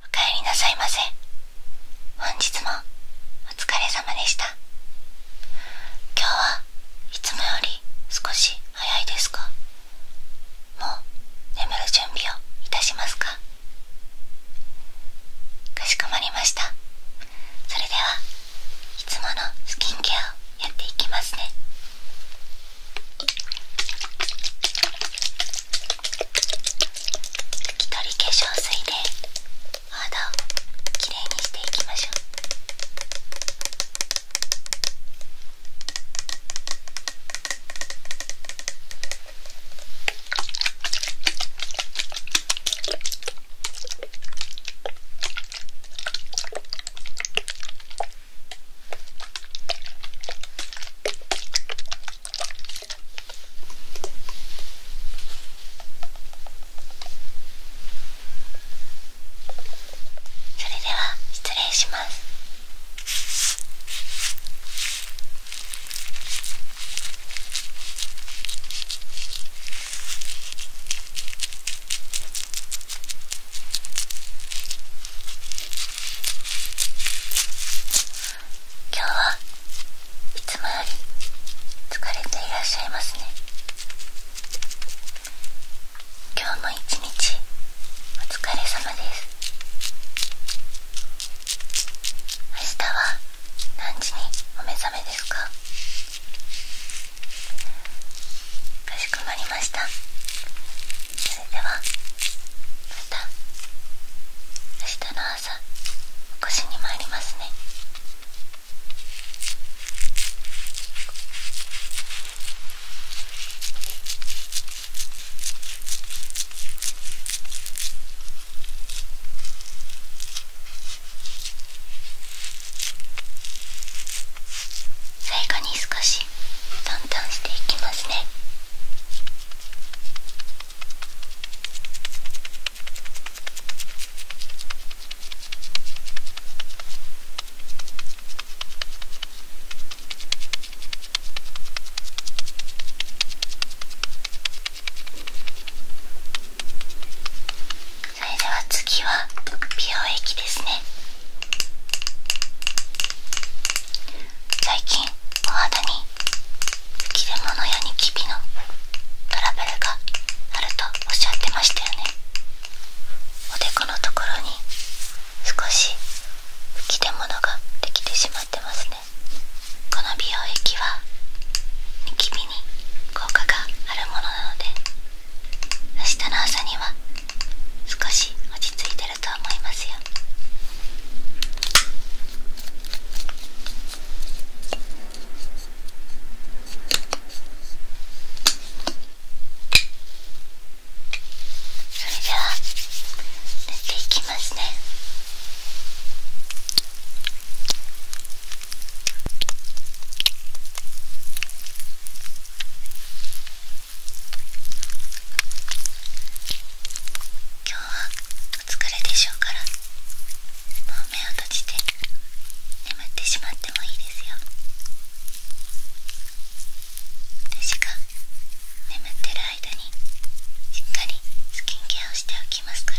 おかえりなさいませ本日もお疲れ様でした今日はいつもより少し早いですかもう眠る準備をいたしますかかしこまりましたそれではいつものスキンケアをやっていきますね拭き取り化粧水で肌をきれいにしていきましょうそれでは失礼します。今日はいつもより疲れていらっしゃいますね今日も一日お疲れ様です明日は何時にお目覚めですかかしこまりましたそれではた明日の朝お越しに参りますね最後に少ししトントしていきますねそれでは次は美容液ですね最近お肌に吹き出物やニキビのトラブルがあるとおっしゃってましたよねおでこのところに少し吹き出物ができてしまってますねこの美容液はニキビに効果があるものなので明日の朝には少し落ち着いてると思いますよそれでは塗っていきますね今日はお疲れでしょうからもう目を閉じて眠ってしまってもいいですよ私が眠ってる間にしっかりスキンケアをしておきますから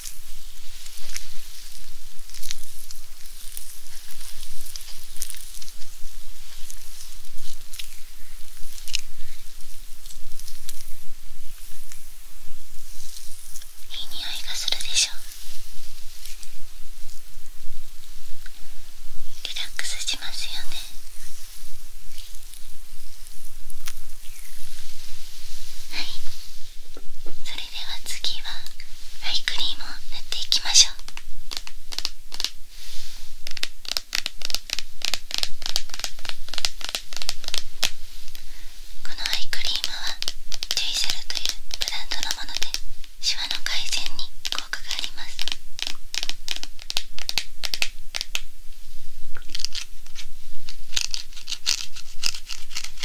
いい匂いがするでしょリラックスしますよねはいそれでは次はアイクリームを塗っていきましょうこのアイクリームはジュイセルというブランドのものでシワの改善に効果があります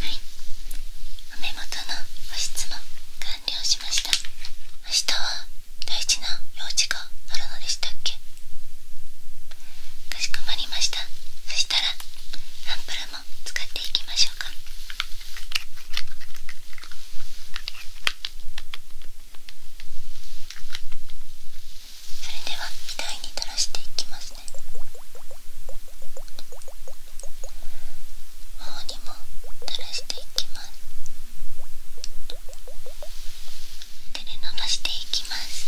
はいお目元の保湿も完了しました明日は大事な用事があるのでしたっけかしこまりましたそしたらアンプルも使っていきましょうかそれでは額に垂らしていきますね頬にも垂らしていきます手で伸ばしていきます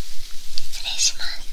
失礼します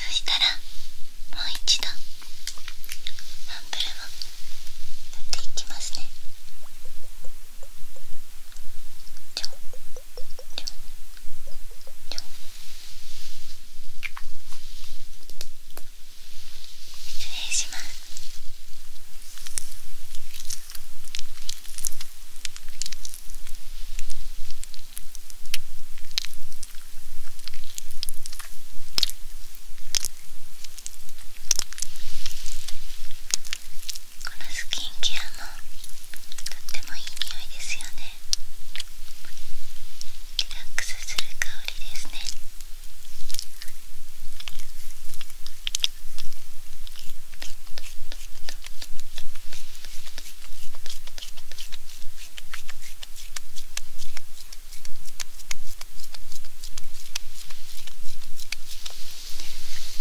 そしたらもう一度アンプルも。やっていきますねちょちょちょちょんちょんちょん失礼しますこのスキンケアもとってもいい匂いですよねラックスする香りですね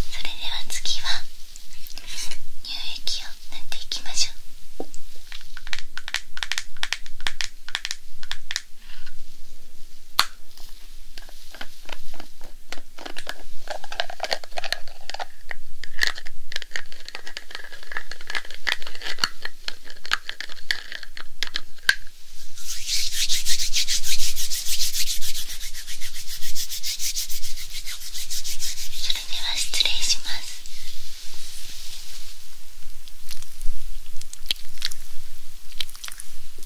それでは次は乳液を塗っていきましょうそれでは失礼します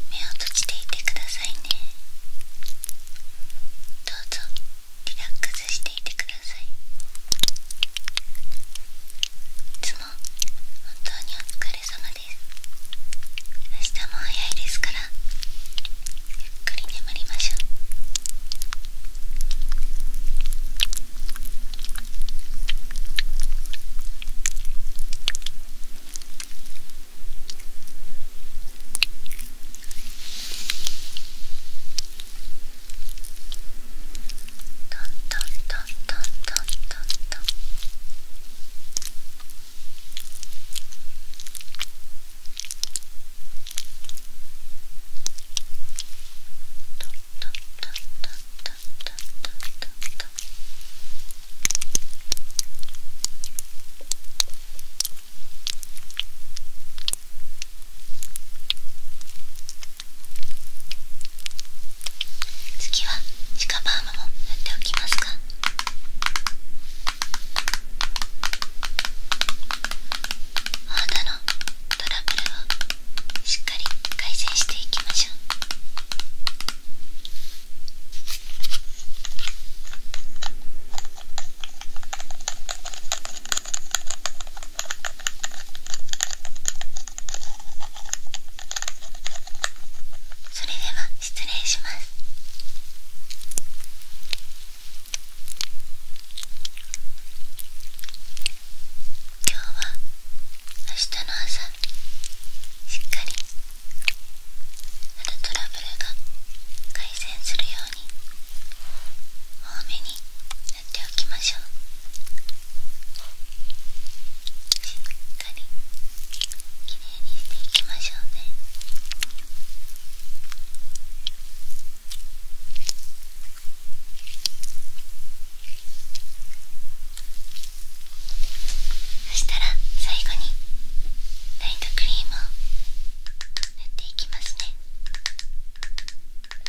目を閉じていてくださいねどうぞリラックスしていてくださいいつも本当にお疲れ様です明日も早いですからゆっくり眠りましょう。トントントントントントントン。次はシカバームも塗っておきますか肌のトラブルをしっかり改善していきましょうそれでは失礼します。今日は明日の朝しっかりあるトラブルが改善するように多めに塗っておきましょうしっかりきれいにしていきましょうね。そしたら最後にライトクリームを塗っていきますねこ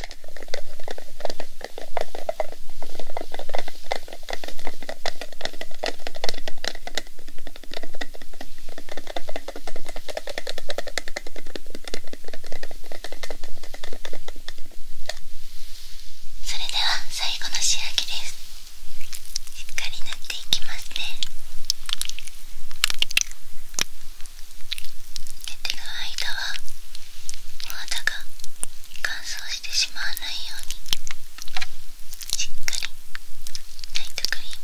それでは最後の仕上げですしっかり塗っていきますね寝てる間はお肌が乾燥してしまわないようにしっかりナイトクリー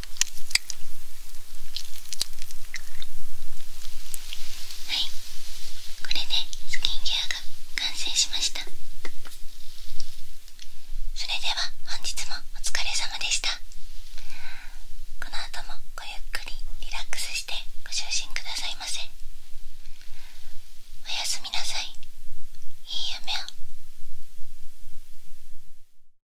はいこれでスキンケアが完成しましたそれでは本日もお疲れ様でしたこの後もごゆっくりリラックスしてご就寝くださいませおやすみなさいいい夢を